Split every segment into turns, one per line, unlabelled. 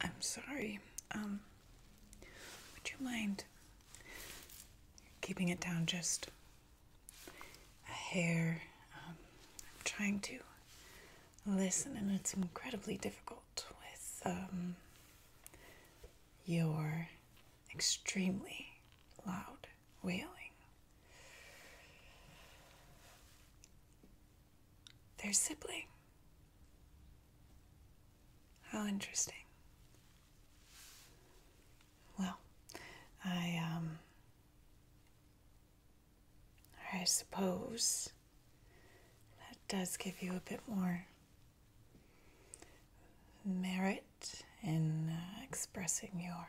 I'm sorry. Um, would you mind keeping it down just a hair? Um, I'm trying to listen, and it's incredibly difficult with um, your extremely loud wailing. Their sibling. How interesting. Well, I um I suppose that does give you a bit more merit in uh, expressing your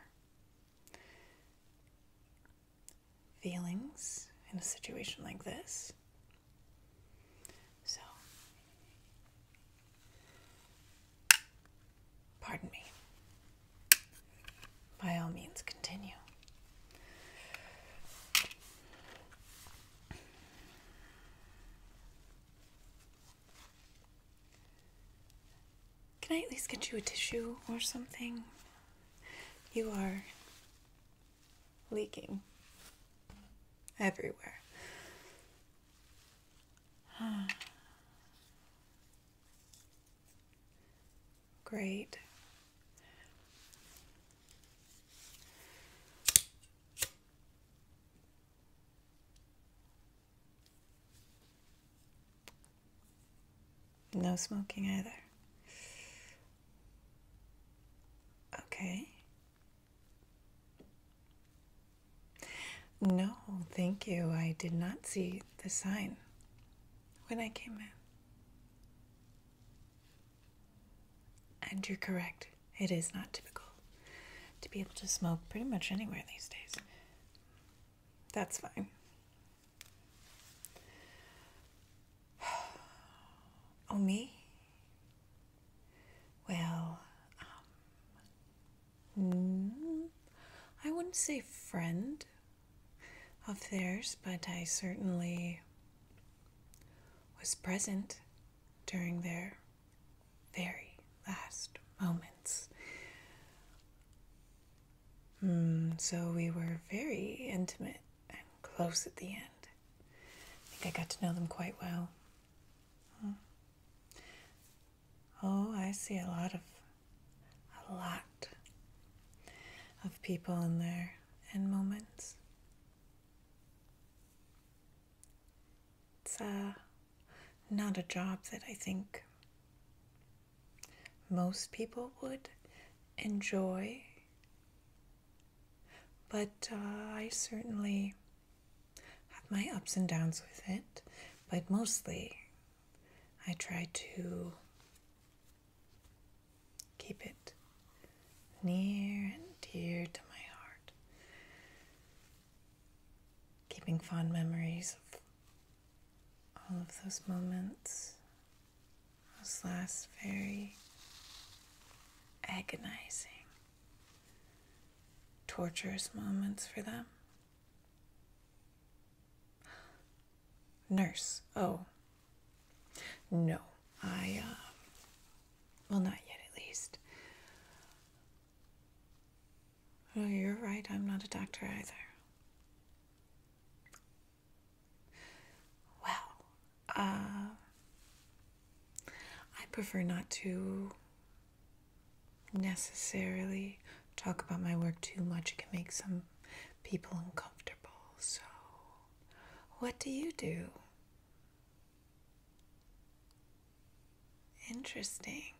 feelings in a situation like this. So, pardon me. By all means, continue. Can I at least get you a tissue or something? You are leaking everywhere. Great. No smoking either. Okay. No, thank you. I did not see the sign when I came in. And you're correct, it is not typical to be able to smoke pretty much anywhere these days. That's fine. Oh, me? Well, um, mm, I wouldn't say friend of theirs, but I certainly was present during their very last moments. Hmm, so we were very intimate and close at the end. I think I got to know them quite well. Hmm. Oh, I see a lot of, a lot of people in there and moments. It's uh, not a job that I think most people would enjoy, but uh, I certainly have my ups and downs with it. But mostly, I try to Keep it near and dear to my heart. Keeping fond memories of all of those moments, those last very agonizing, torturous moments for them. Nurse, oh, no, I, um, well, not yet at least. Oh, you're right, I'm not a doctor either. Well, uh, I prefer not to necessarily talk about my work too much. It can make some people uncomfortable. So, what do you do? Interesting.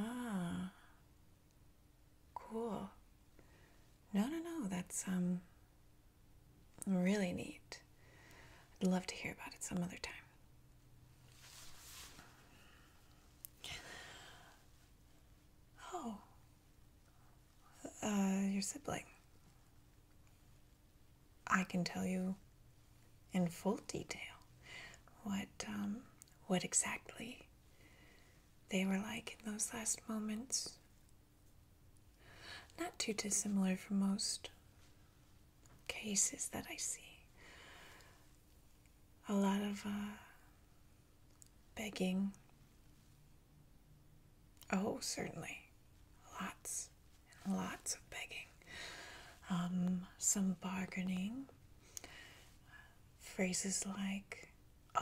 Ah, cool. No, no, no. That's um really neat. I'd love to hear about it some other time. Oh. Uh, your sibling. I can tell you in full detail what, um, what exactly they were like in those last moments. Not too dissimilar from most cases that I see a lot of uh, begging. Oh, certainly. Lots lots of begging. Um, some bargaining. Phrases like,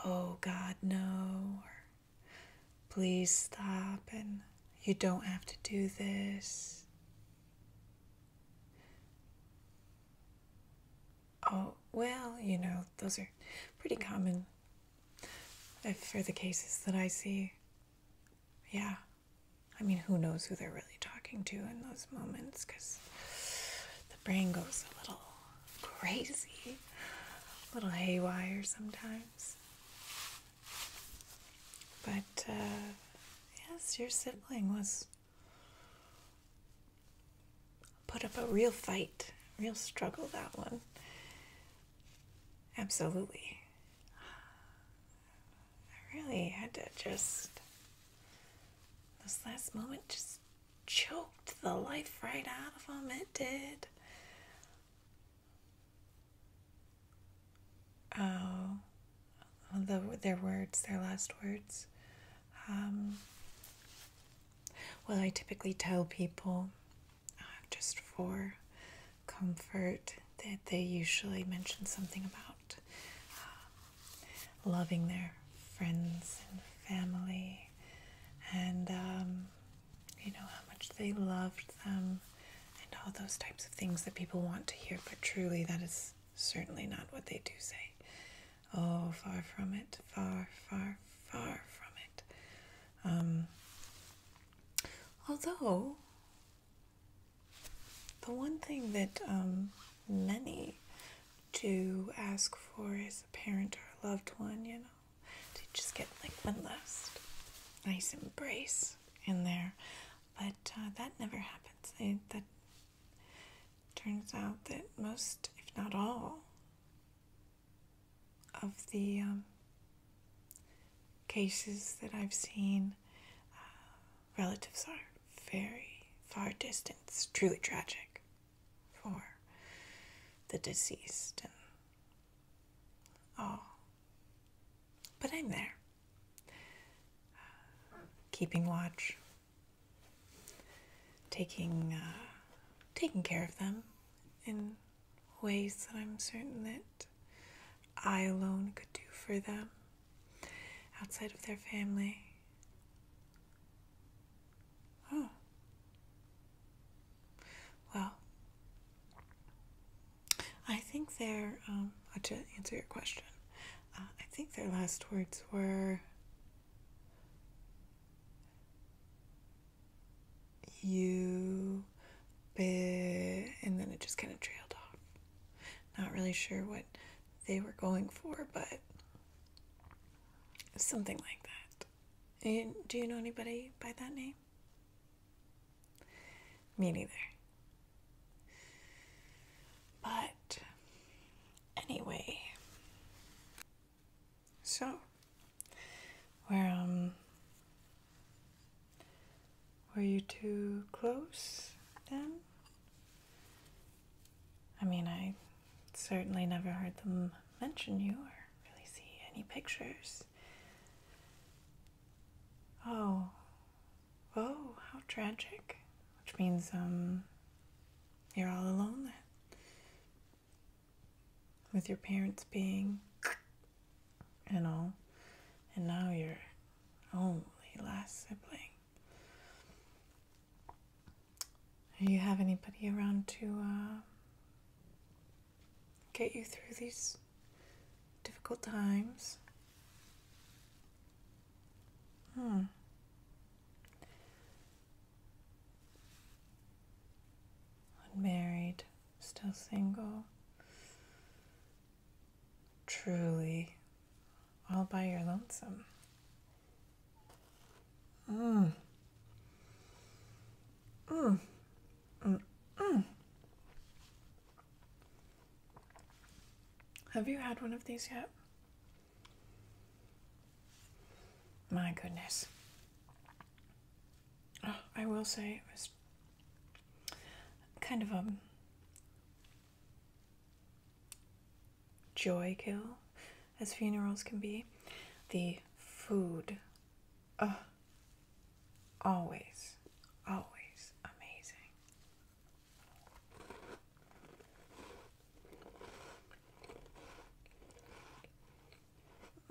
oh God, no, or please stop, and you don't have to do this. Oh, well, you know, those are pretty common If uh, for the cases that I see. Yeah. I mean, who knows who they're really talking to in those moments because the brain goes a little crazy, a little haywire sometimes. But, uh, yes, your sibling was Put up a real fight, real struggle, that one. Absolutely. I really had to just, this last moment just choked the life right out of him. It did. Oh, uh, the, their words, their last words. Um, well, I typically tell people uh, just for comfort that they usually mention something about uh, loving their friends and family and, um, you know, how much they loved them and all those types of things that people want to hear, but truly that is certainly not what they do say. Oh, far from it, far, far, far from it. Um, although, the one thing that um, many do ask for is a parent or a loved one, you know, to just get like one last nice embrace in there. But uh, that never happens. that Turns out that most, if not all, of the um, cases that I've seen, uh, relatives are very far distance, truly tragic for the deceased and all. But I'm there, uh, keeping watch taking uh, taking care of them in ways that I'm certain that I alone could do for them outside of their family. Oh. Well, I think they're, um, to answer your question, uh, I think their last words were You bit, and then it just kind of trailed off. Not really sure what they were going for, but something like that. do you know anybody by that name? Me neither. But anyway, so we um, were you too close then? I mean, I certainly never heard them mention you or really see any pictures. Oh, Whoa, oh, how tragic. Which means um, you're all alone With your parents being and all. And now you're only last sibling. Do you have anybody around to uh, get you through these difficult times. Hmm. Unmarried, still single. Truly all by your lonesome. Mm. Mm. Mm. Mm. Have you had one of these yet? My goodness. Oh, I will say it was kind of a um, joy kill, as funerals can be. The food. Oh, Always, always amazing.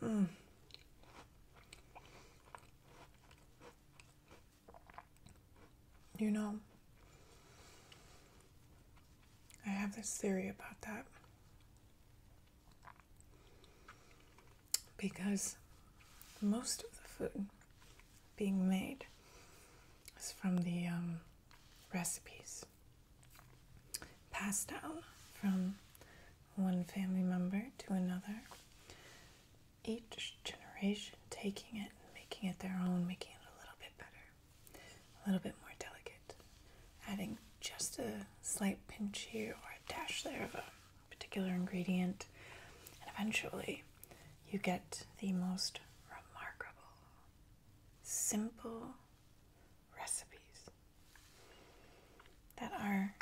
Mm. You know, I have this theory about that because most of the food being made is from the um, recipes passed down from one family member to another. Each generation taking it and making it their own, making it a little bit better, a little bit more delicate, adding just a slight pinch here or a dash there of particular ingredient, and eventually you get the most remarkable, simple recipes that are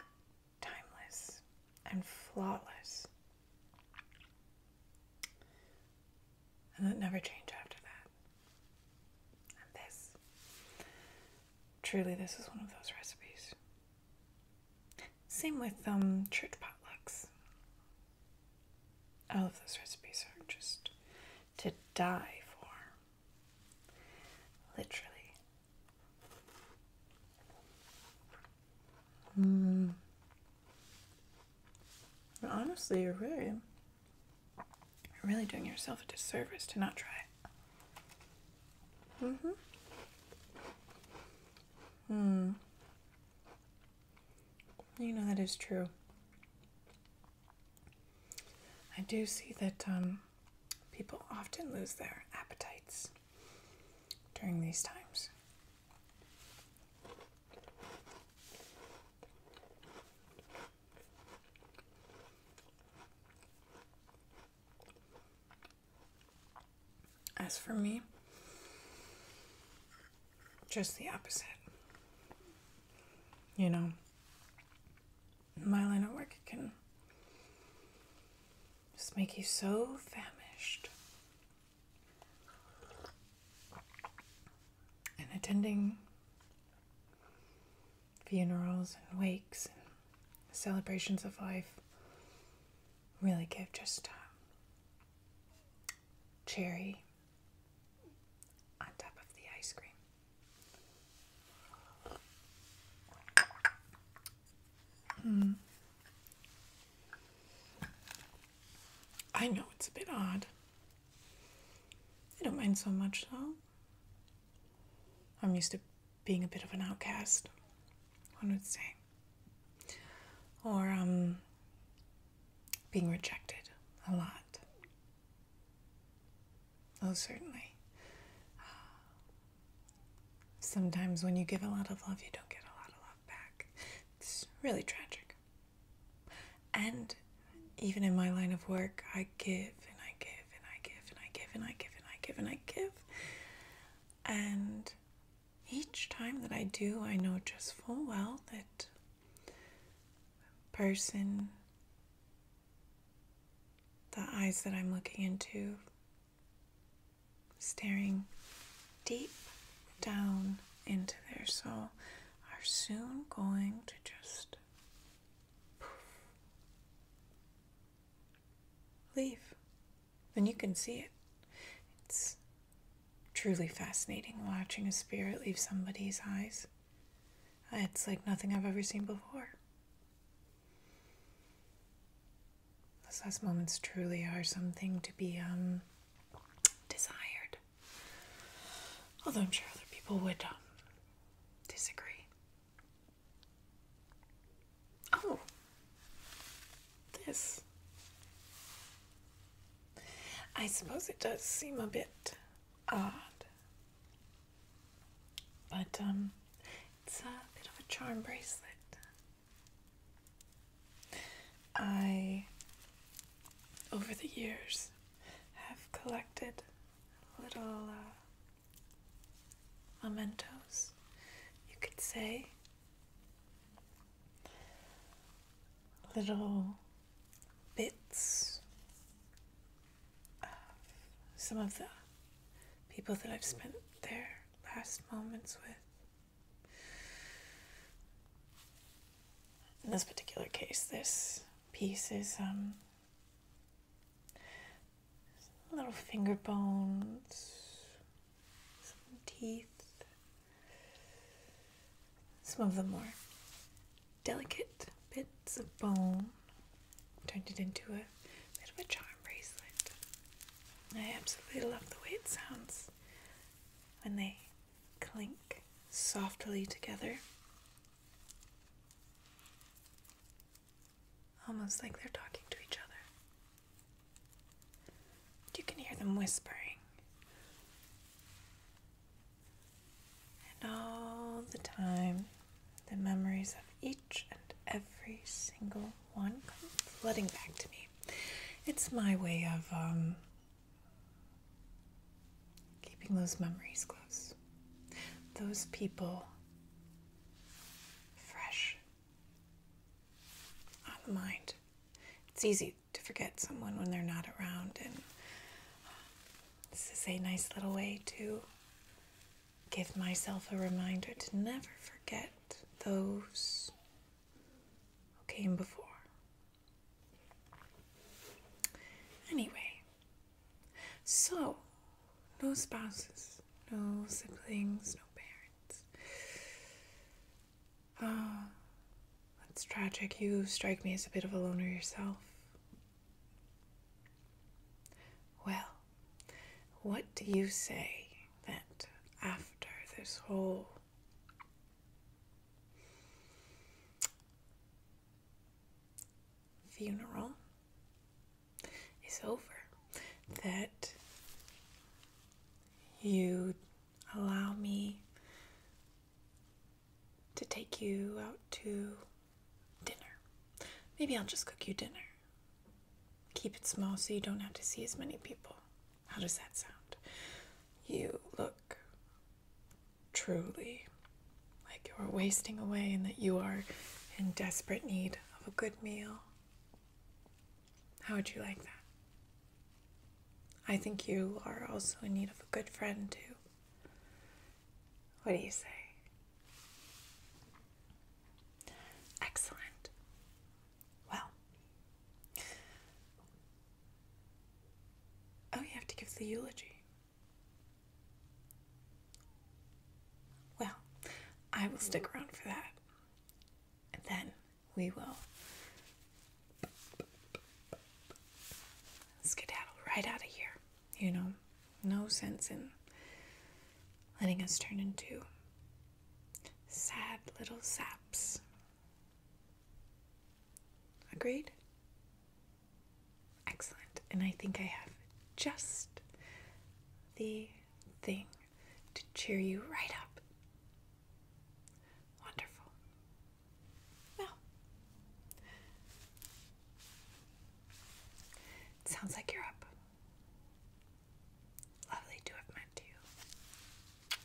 timeless and flawless and that never change after that. And this, truly, this is one of those recipes. Same with um, church potlucks. All of those recipes are just to die for. Literally. Mm. Honestly, you're really, you're really doing yourself a disservice to not try it. Mm-hmm. Hmm. You know that is true. I do see that um, people often lose their appetites during these times. As for me, just the opposite. You know, my line of work can just make you so famished. And attending funerals and wakes and celebrations of life really give just uh, cherry on top of the ice cream. Hmm. I know it's a bit odd. I don't mind so much though. I'm used to being a bit of an outcast, I would say. Or um, being rejected a lot. Oh, certainly. Sometimes when you give a lot of love, you don't get a lot of love back. It's really tragic. And even in my line of work, I give and I give and I give and I give and I give and I give and I give. And each time that I do, I know just full well that person, the eyes that I'm looking into, staring deep down into their soul, are soon going to just Leave. Then you can see it. It's truly fascinating watching a spirit leave somebody's eyes. It's like nothing I've ever seen before. Those last moments truly are something to be um, desired. Although I'm sure other people would um, disagree. Oh, this. I suppose it does seem a bit odd, but um, it's a bit of a charm bracelet. I, over the years, have collected little uh, mementos, you could say. Little bits of some of the people that I've spent their last moments with. In this particular case, this piece is um, little finger bones, some teeth. Some of the more delicate bits of bone. Turned it into a bit of a charm bracelet. I absolutely love the way it sounds when they clink softly together. Almost like they're talking to each other. You can hear them whispering. And all the time, the memories of each and every single one come flooding back to me. It's my way of um, keeping those memories close, those people fresh on the mind. It's easy to forget someone when they're not around, and uh, this is a nice little way to give myself a reminder to never forget those who came before. Anyway, so, no spouses, no siblings, no parents. Ah, oh, that's tragic. You strike me as a bit of a loner yourself. Well, what do you say that after this whole funeral is over, that you allow me to take you out to dinner. Maybe I'll just cook you dinner. Keep it small so you don't have to see as many people. How does that sound? You look truly like you are wasting away and that you are in desperate need of a good meal. How would you like that? I think you are also in need of a good friend, too. What do you say? Excellent. Well, oh, you have to give the eulogy. Well, I will stick around for that. And then we will skedaddle right out of here. You know, no sense in letting us turn into sad little saps Agreed? Excellent. And I think I have just the thing to cheer you right up. Wonderful. Well, sounds like you're up. Lovely to have met you.